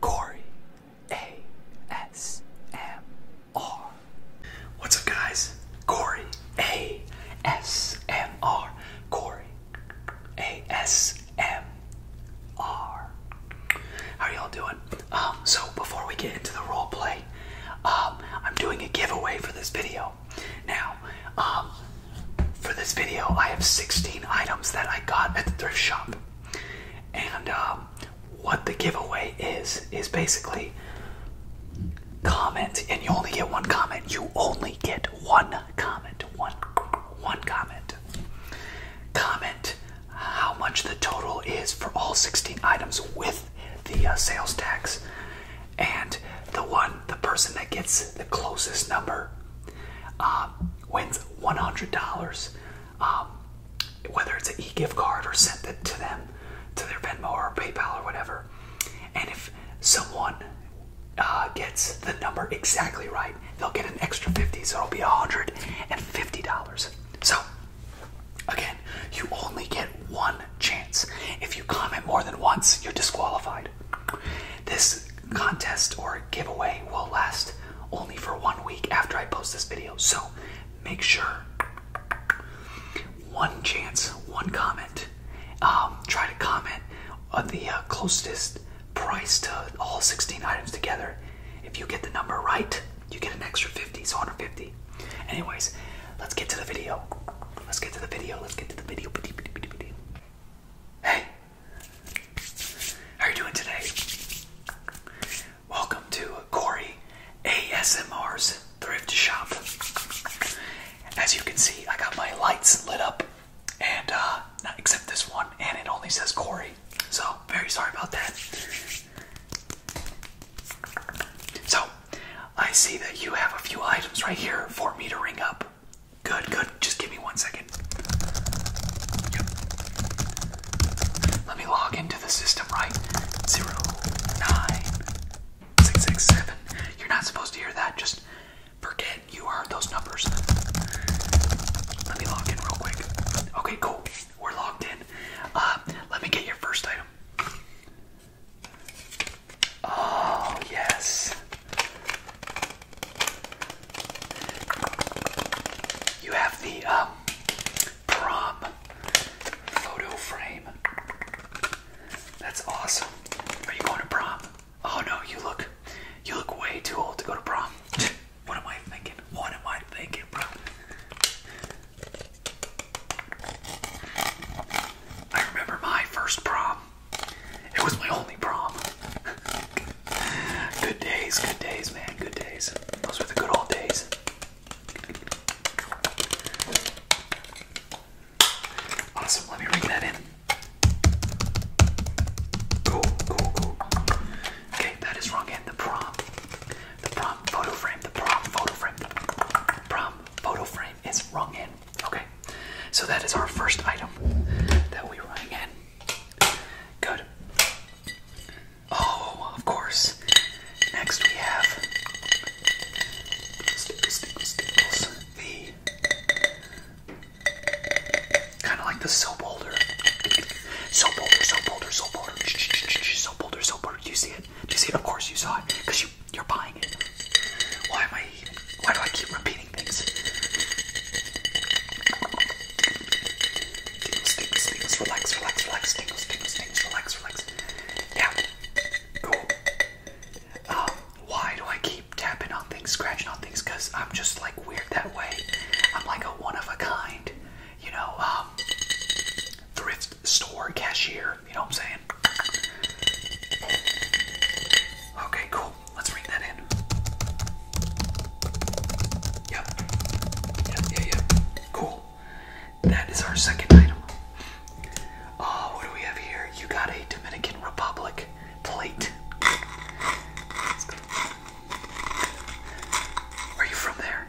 Corey ASMR. What's up, guys? Corey ASMR. Corey ASMR. How y'all doing? Um, so before we get into the role play, um, I'm doing a giveaway for this video. Now, um, for this video, I have 16 items that I got at the thrift shop. And um, what the giveaway is is basically comment, and you only get one comment. You only get one comment, one one comment. Comment how much the total is for all 16 items with the uh, sales tax, and the one the person that gets the closest number um, wins $100. Um, whether it's an e-gift card or sent it to them, to their Venmo or PayPal or whatever. And if someone uh, gets the number exactly right, they'll get an extra 50, so it'll be $150. So, again, you only get one chance. If you comment more than once, you're disqualified. This contest or giveaway will last only for one week after I post this video. So make sure one chance, one comment. Um, try to comment on the uh, closest price to all 16 items together. If you get the number right, you get an extra 50, so 150. Anyways, let's get to the video. Let's get to the video. Let's get to the video. Hey, how are you doing today? Welcome to Corey ASMR's Thrift Shop. As you can see, I got my lights lit up, and uh, not except this one, and it only says Corey. So, very sorry about that. So, I see that you have a few items right here for me to ring up. Good, good. Just give me one second. Let me log into the system, right? Zero, nine, six, six, seven. You're not supposed to hear that. Just forget you heard those numbers. Let me log in real quick. Okay, cool. We're logged in. Uh, let me get your first item. Oh, yes. You have the um, prom photo frame. That's awesome. Are you going to prom? Oh no, you look you look way too old to go to prom. what am I thinking? What am I thinking, bro? I remember my first prom. It was my only prom. good days, good days, man, good days. Those were the good old days. Awesome, let me ring that in. Cool, cool, cool. Okay, that is wrong end. The prom. The prom photo frame. The prom photo frame. prom photo frame is wrong end. Okay. So that is our first item that we rang in. Good. Oh, of course. Next we have The kind of like the soap holder. Soap holder, soap holder, soap holder. Soap holder, soap holder. you see it? you see it? Of course you saw it, because you you're buying it. Why am I why do I keep repeating things? Tingles, tingles, tingles, relax, relax, relax, tingles, tingles, tingles, relax, relax. Yeah. Cool. Um, why do I keep tapping on things, scratching on things? Because I'm just like weird that way. I'm like a one of a kind, you know, um, thrift store cashier, you know what I'm saying? Okay, cool let's bring that in. Yep. Yep, yeah, yep. Cool. That is our second item. Uh, what do we have here? You got a Dominican Republic plate. Are you from there?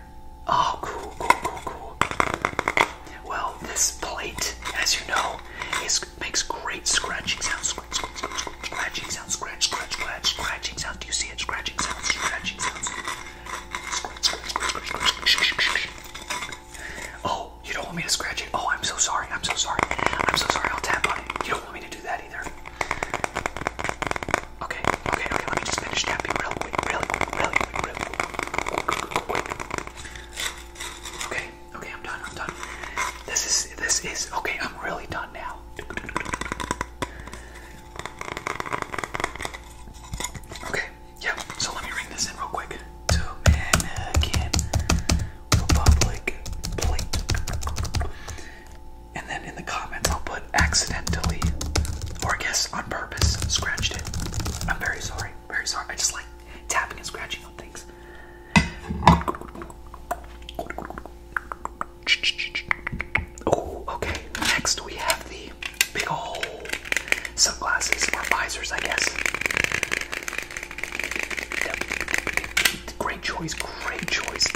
Oh, cool, cool, cool, cool. Well, this plate, as you know, is Makes great scratching sounds. Scratch, scratch, scratch, scratching sounds. Scratch, scratch, scratch, scratching sounds. Do you see it? Scratching sounds. Scratching sounds. Scratch, scratch, scratch, scratch, scratch. Oh, you don't want me to scratch it. Oh, I'm so sorry. I'm so sorry. I'm so sorry. I'll tap on it. You don't want me to do that either. Okay, okay, okay. Let me just finish tapping real quick, really quick, really quick, really quick. Okay. Okay, I'm done. I'm done. This is this is okay. I'm really done now. Okay, yeah. So let me ring this in real quick. Dominican Republic plate, and then in the comments I'll put accidentally, or I guess on purpose, scratched it. I'm very sorry. Very sorry. I just like tapping and scratching on things. Oh, okay. Next, we have the big ol' sunglasses or visors, I guess. Great choice, great choice.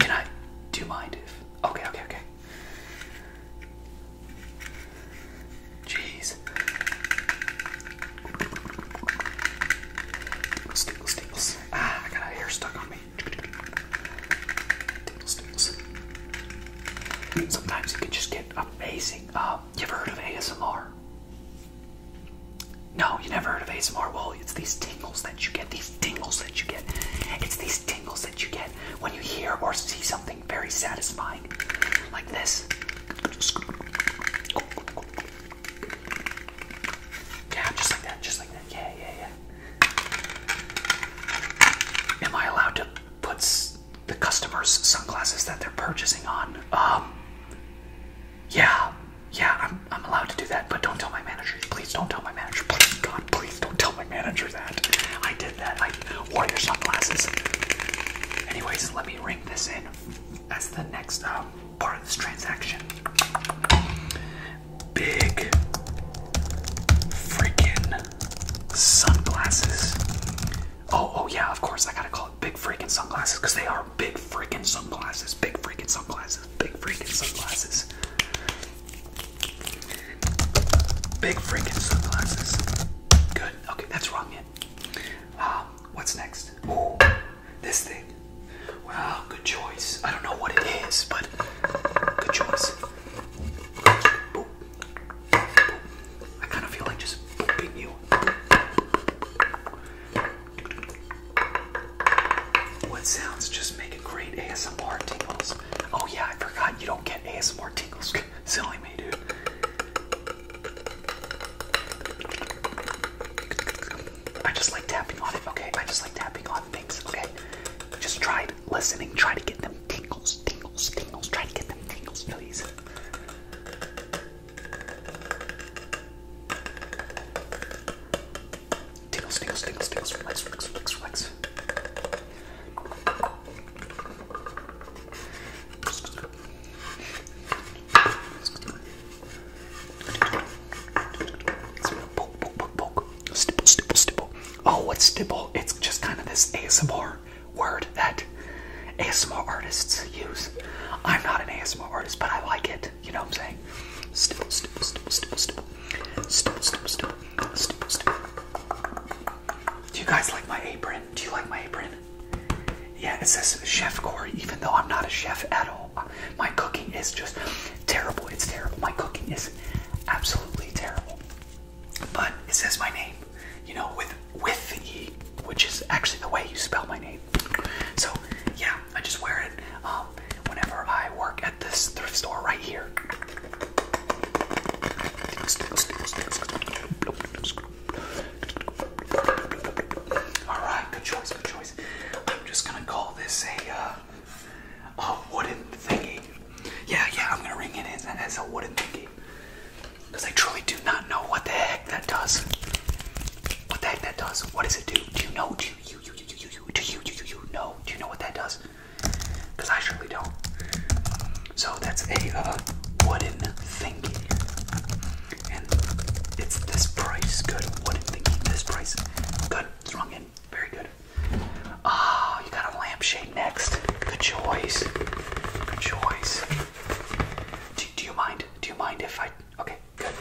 Can I? Do mind if? Okay, okay, okay. Jeez. Tickles, tickles, Ah, I got hair stuck on me. Tickles, tickles. Sometimes you can just get amazing. Uh, you ever heard of ASMR? No, you never heard of ASMR. Well, it's these tingles that you get. These tingles that you get. It's these tingles that you get when you hear or see something very satisfying like this. Yeah, just like that, just like that. Yeah, yeah, yeah. Am I allowed to put the customer's sunglasses that they're purchasing on? Um, yeah, yeah, I'm, I'm allowed to do that, but don't tell my manager. Please don't tell my manager. Please, God, please don't tell my manager that. I did that. I warrior sunglasses. Anyways, let me ring this in. That's the next um, part of this transaction. Big freaking sunglasses. Oh, oh yeah, of course I gotta call it big freaking sunglasses because they are big freaking sunglasses. Big freaking sunglasses. Big freaking sunglasses. Big freaking sunglasses. Good. Okay, that's wrong yet. Um, what's next? Ooh, this thing. Wow, good choice. I don't know what it is, but good choice. I kind of feel like just booping you. What sounds just make a great ASMR tingles? Oh yeah, I forgot you don't get ASMR tingles. Silly me, dude. I just like tapping on it, okay? I just like tapping on things, okay? Just try listening, try to get them tingles, tingles, tingles, try to get them tingles, please. Tingles, tingles, tingles, tingles, relax, relax, relax, relax. Oh, what's stipple? It's just kind of this ASMR word that ASMR artists use. I'm not an ASMR artist, but I like it. You know what I'm saying? stipple, stipple, stipple, stipple, stipple, stipple, stipple, stipple, stipple. Do you guys like my apron? Do you like my apron? Yeah, it says Chef Corey, even though I'm not a chef at all. My cooking is just terrible. It's terrible. My cooking is absolutely terrible. But it says my name, you know, with with E, which is actually the way you spell my name. So yeah, I just wear it um, whenever I work at this thrift store right here. All right, good choice, good choice. I'm just gonna call this a uh, a wooden thingy. Yeah, yeah, I'm gonna ring it in as a wooden thingy because I truly do not know what the heck that does. What the heck that does? What does it do? Do you know? Do you you you you you you do you you you know? Do you know what that does? Because I surely don't. So that's a uh, wooden thingy. And it's this price. Good. Wooden thingy. This price. Good. Strong in. Very good. Ah, you got a lampshade next. Good choice. Good choice. Do, you mind? Do you mind if I. Okay, good.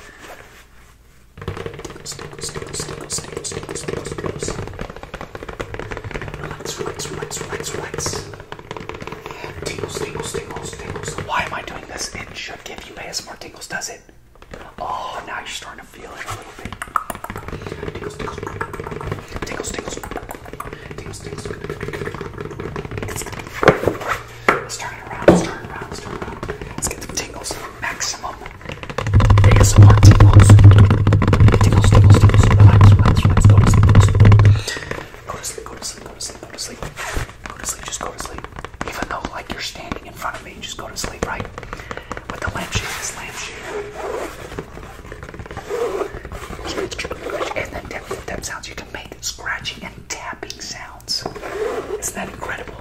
good. Stickles, stickles, stickles, stickles, stickles, stickles, stickles. Relax, relax, relax, relax, relax. Tingles, tingles, tingles, tingles. Why am I doing this? It should give you ASMR tingles, does it? Oh, now you're starting to feel it a little bit. Tingles, tingles, tingles, tingles, tingles, tingles. Let's turn it around, let's turn it around, let's turn it around. Let's get the tingles maximum. ASMR tingles. Tingles, tingles, tingles. Relax, relax, relax. Go to sleep, go to sleep. Go to sleep, go to sleep, go to sleep, go to sleep. Go to sleep, just go to sleep. Even though, like, you're standing in front of me, just go to sleep, right? With the lampshade, this lampshade. And then tap, tap sounds. You can make scratching and tapping sounds. Isn't that incredible?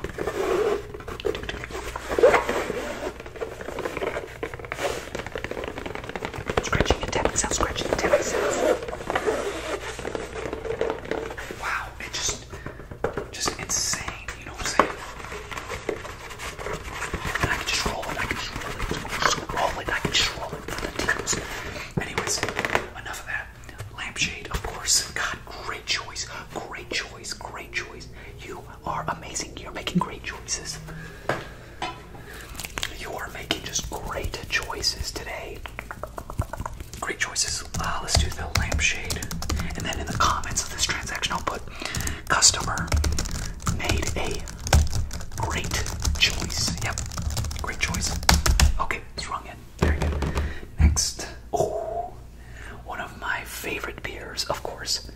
Scratching and tapping scratching and Wow, it just, just insane, you know what I'm saying? I can just roll it, I can just roll it, I can just roll it for the teams. Anyways, enough of that. Lampshade, of course. God, great choice, great choice, great choice. You you are amazing. You're making great choices. You are making just great choices today. Great choices. Uh, let's do the lampshade. And then in the comments of this transaction, I'll put customer made a great choice. Yep, great choice. Okay, it's wrong end. Very good. Next. Oh, one of my favorite beers, of course.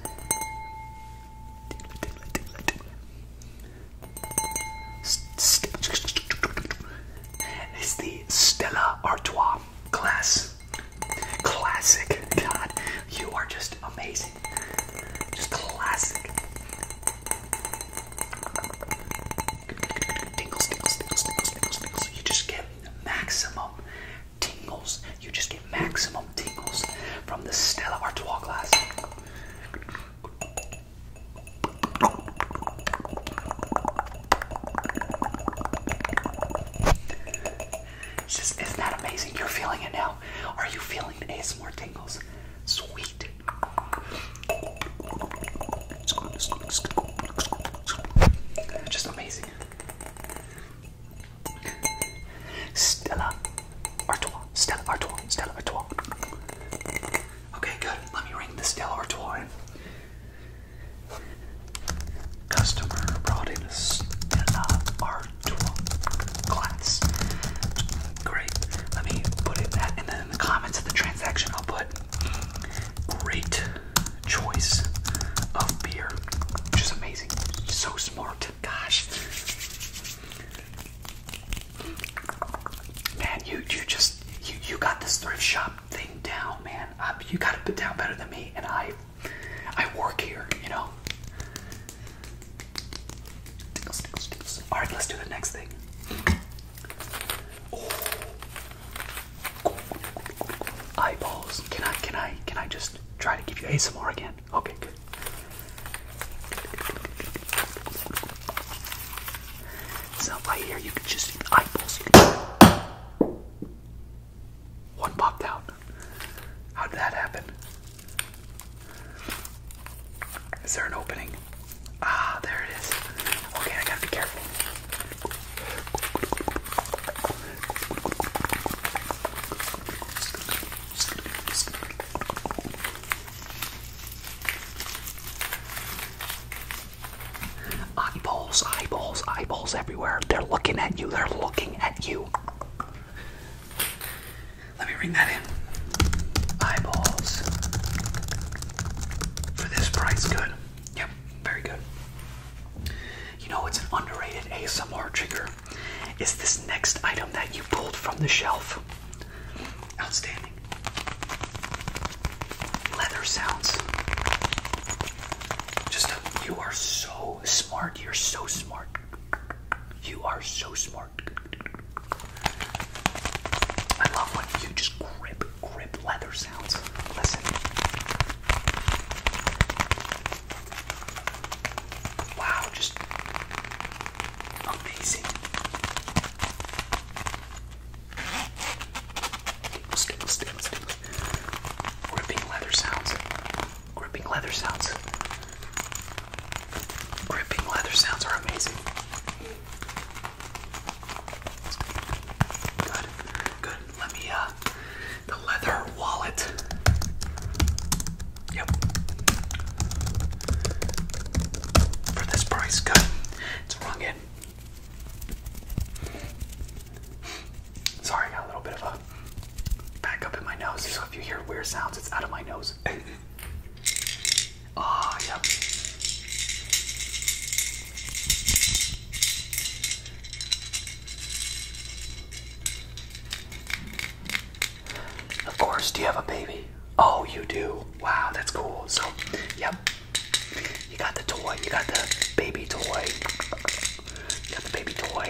It's the Stella Artois class. Classic. God, you are just amazing. Just classic. You just get maximum tingles. You just get maximum tingles from the Stella Artois glass. It's just, isn't that amazing? You're feeling it now. Are you feeling the more tingles? Sweet. Just amazing. Stella Artois. Stella Artois. Stella Artois. Okay, good. Let me ring the Stella Artois Customer brought in a Stella Artois glass. Great. Let me put that, in the comments of the transaction, I'll put great choice of beer, which is amazing amazing. So smart. Gosh. Man, you you just you you got this thrift shop thing down, man. you got it down better than me, and I I work here, you know. All right, let's do the next thing. Eyeballs. Can I can I can I just just try to give you ASMR again. Okay, good. So right here, you can just see One popped out. How did that happen? Is there an opening? Ah, there it is. Okay, I gotta be careful. Eyeballs, eyeballs, eyeballs everywhere. They're looking at you. They're looking at you. Let me ring that in. Eyeballs. For this price, good. Yep, very good. You know, it's an underrated ASMR trigger. It's this next item that you pulled from the shelf? Outstanding. Leather sounds. Just you are so smart. You're so smart. You are so smart. I love when you just grip, grip leather sounds. Listen. Wow, just amazing. Stick, stick, stick. Gripping leather sounds. Gripping leather sounds. Gripping leather sounds are amazing. Good, good. Let me, uh, the leather wallet. Yep. For this price, good. It's wrong end. Sorry, I got a little bit of a back up in my nose. So if you hear weird sounds, it's out of my nose. Ah, yep. Of course, do you have a baby? Oh, you do. Wow, that's cool. So, yep. You got the toy. You got the baby toy. got the baby toy.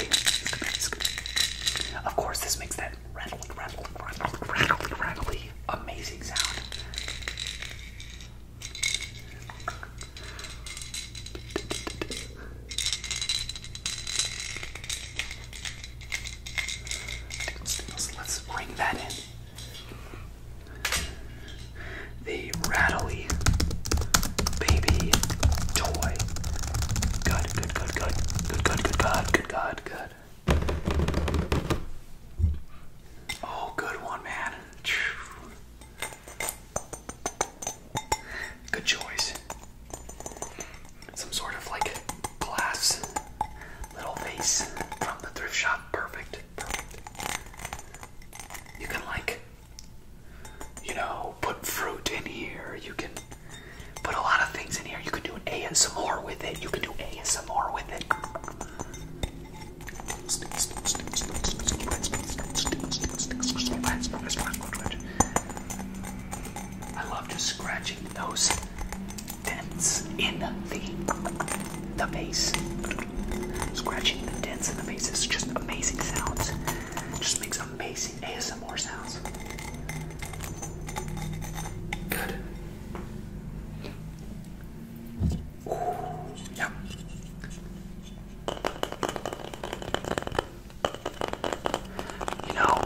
Of course, this makes that rattly, rattly, rattly, rattly, rattly amazing sound let's bring that in. The rattly baby toy. good, good, good, good, good, good, good, good, good, good. Oh, good one, man. Good choice. Some sort of like glass little vase from the thrift shop. Perfect. Perfect. You can like, you know, put fruit in here. You can put a lot of things in here. You can do an ASMR with it. You can do ASMR with it. I love just scratching those dents in the the base. Scratching the dents in the base is just amazing sounds. Just makes amazing ASMR sounds. Good. Ooh, yeah. You know,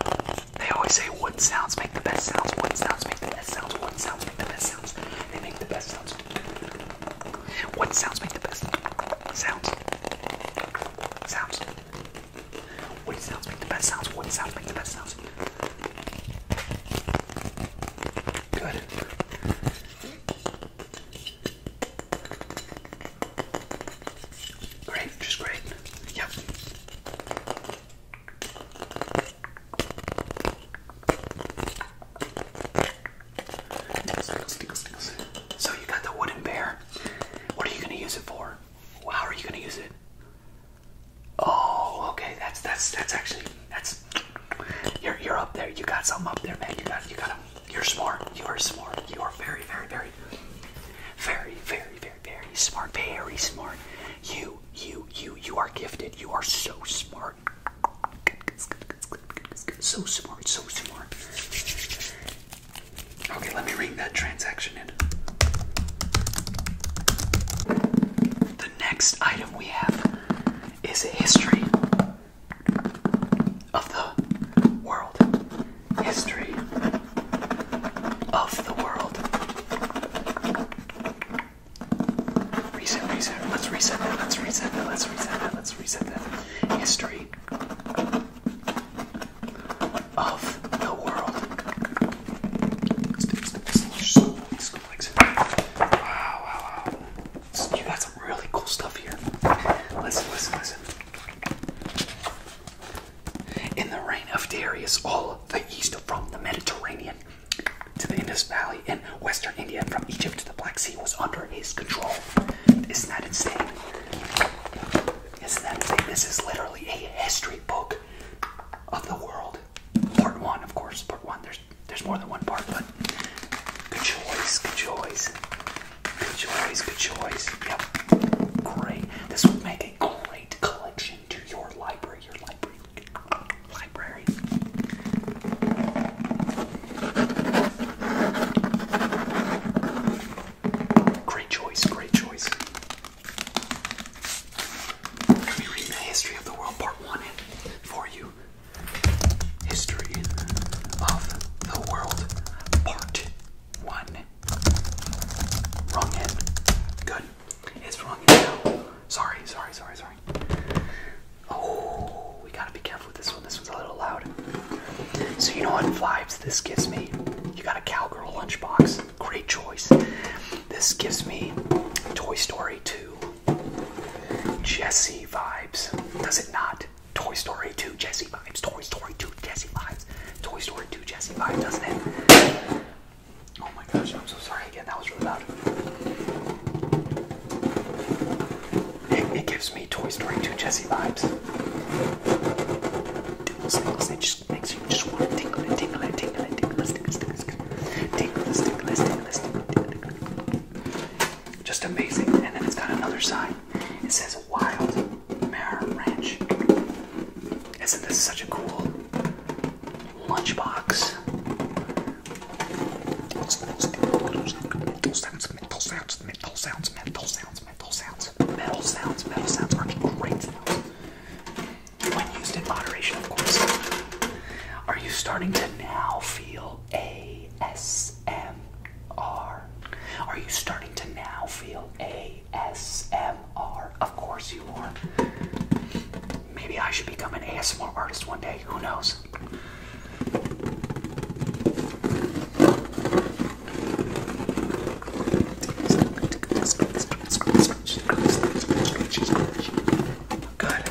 they always say wood sounds make the best sounds, wood sounds make the best sounds, wood sounds make the best sounds. They make the best sounds. Wood sounds make the best sounds. Sounds. Wood sounds make the best sounds, wood sounds make the best sounds. Good. Great, just great. Yep. So you got the wooden bear. What are you gonna use it for? How are you gonna use it? Oh, okay. That's that's that's actually that's you're you're up there. You got some up there, man. You got you got a, You're smart. You are smart. You are very very very very very very very smart. Very smart. You you you you are gifted. You are so smart. So smart. So smart. Okay, let me ring that transaction in. The next item we have is history of the world, history of the world. Reset, reset. Let's reset that. Let's reset that. Let's reset that. Let's reset that. History of the world. Wow, wow, wow. You got some really cool stuff here. Listen, listen, listen. In the reign of Darius, all the east from the Mediterranean to the Indus Valley in western India, and from Egypt to the Black Sea, was under his control. Isn't that insane? Isn't that insane? This is literally a history book of the world. Part one, of course. Part one. There's there's more than one part, but good choice, good choice. Good choice, good choice. Yep. Great. This would make a great collection to your library, your library, library. Great choice, great choice. Let read the history of the world, part one, for you. History of the World, Part 1. Wrong end. Good. It's wrong end Sorry, sorry, sorry, sorry. Oh, we gotta be careful with this one. This one's a little loud. So, you know what vibes this gives me? You got a cowgirl lunchbox. Great choice. This gives me Toy Story 2 Jesse vibes. Does it not? Toy Story 2 Jesse vibes. Toy Story 2 Jesse vibes. Toy Story 2 Jesse vibes, doesn't it? Oh my gosh, I'm so sorry again. That was really loud. It, gives me Toy Story 2 Jesse vibes. it just makes you just want to tingle it, tingle it, tingle it, tingle it, tingle it, tingle it, tingle it, tingle it, tingle it. Just amazing. And then it's got another sign. It says Wild Mare Ranch. Isn't this such a cool lunchbox? Mental sounds, mental sounds, mental sounds, mental sounds, mental sounds, metal sounds, metal sounds are great sounds. When used in moderation, of course. Are you starting to now feel ASMR? Are you starting to now feel ASMR? Of course you are. Maybe I should become an ASMR artist one day. Who knows? Good.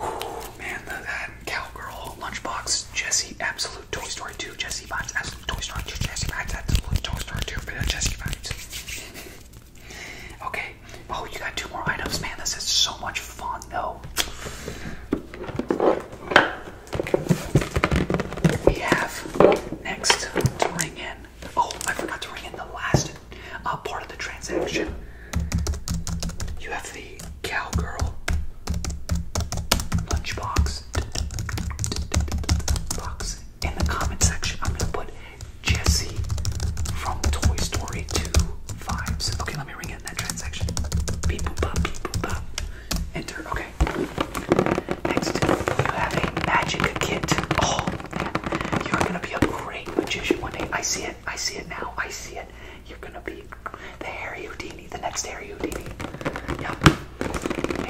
Whew, man, the, that cowgirl lunchbox, Jesse, absolute Toy Story 2, Jesse vibes, absolute Toy Story 2, Jesse vibes, absolute Toy Story 2, but Jesse vibes. okay, oh, you got two more items, man. This is so much fun, though. We have next to ring in Oh, I forgot to ring in the last uh, part of the transaction. You have the cowgirl lunchbox box in the comment section. I'm gonna put Jesse from Toy Story 2 vibes. Okay, let me ring in that transaction. Beep boop bop, beep Enter. Okay. Next, you have a magic kit. Oh, you're gonna be a great magician one day. I see it. I see it now. I see it. You're gonna be the Harry Houdini, the next Harry Houdini. Yep.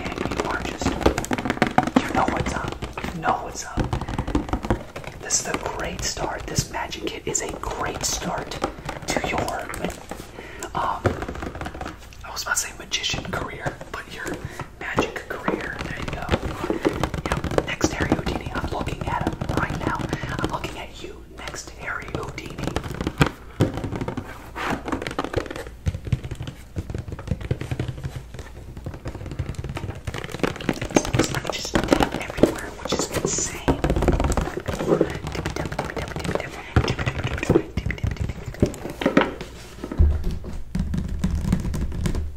And you are just, you know what's up. You know what's up. This is a great start. This magic kit is a great start to your, um, I was about to say magician career, but you're. Magic career. There you go. Next Harry Houdini. I'm looking at him right now. I'm looking at you. Next Harry Houdini. It like just everywhere, which is insane.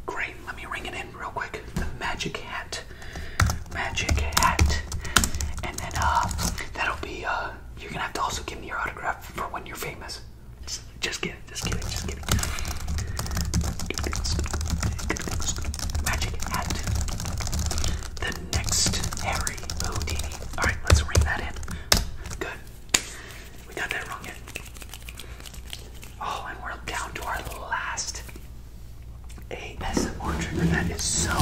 Great, let me ring it in real quick. The magic hat. Magic hat. And then uh that'll be uh you're gonna have to also give me your autograph for when you're famous. Just, just kidding, just kidding, just kidding. Magic hat. The next Harry Houdini. Alright, let's ring that in. Good. We got that wrong yet. Oh, and we're down to our last ASMR trigger. That is so,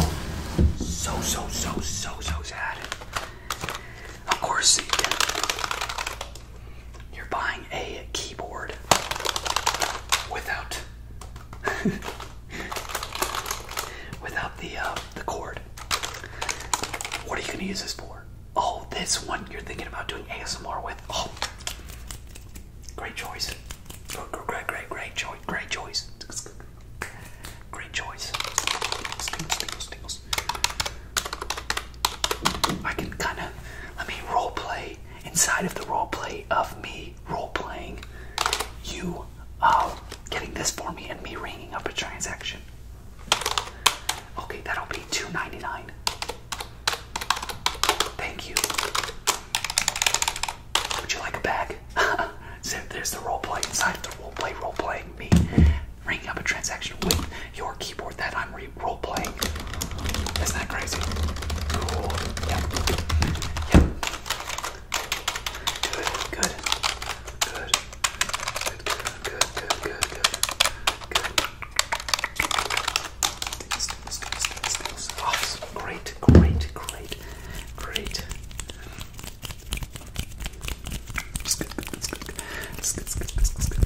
so, so, so, so, so sad. Of course, you're buying a keyboard without without the uh, the cord. What are you gonna use this for? Oh, this one you're thinking about doing ASMR with. Oh, great choice. Great, great, great, choice. Great choice. Great choice. I can kind of let me role play inside of the role play of me role playing you uh, getting this for me and me ringing up a transaction. Okay, that'll be two ninety nine. Thank you. Would you like a bag? so there's the role play inside the role play, role playing me ringing up a transaction with your keyboard that I'm role playing. Isn't that crazy? Cool. Yep. Yep. Good. Good. Good. Good good, good, good, good, good. This, this, this, this, this. Awesome. Great, great, great, great.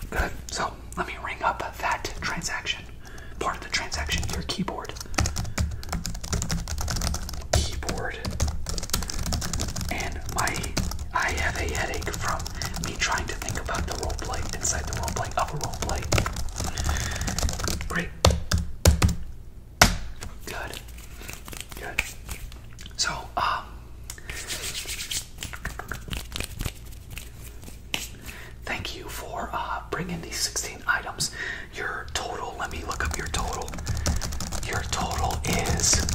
Good. So let me ring up that transaction. Part of the transaction, your keyboard. Keyboard. And my I have a headache from me trying to think about the role play inside the role play of a role play. Great. Good. Good. So, um, thank you for uh, bringing these 16 items. Your total, let me look up your total. Your total is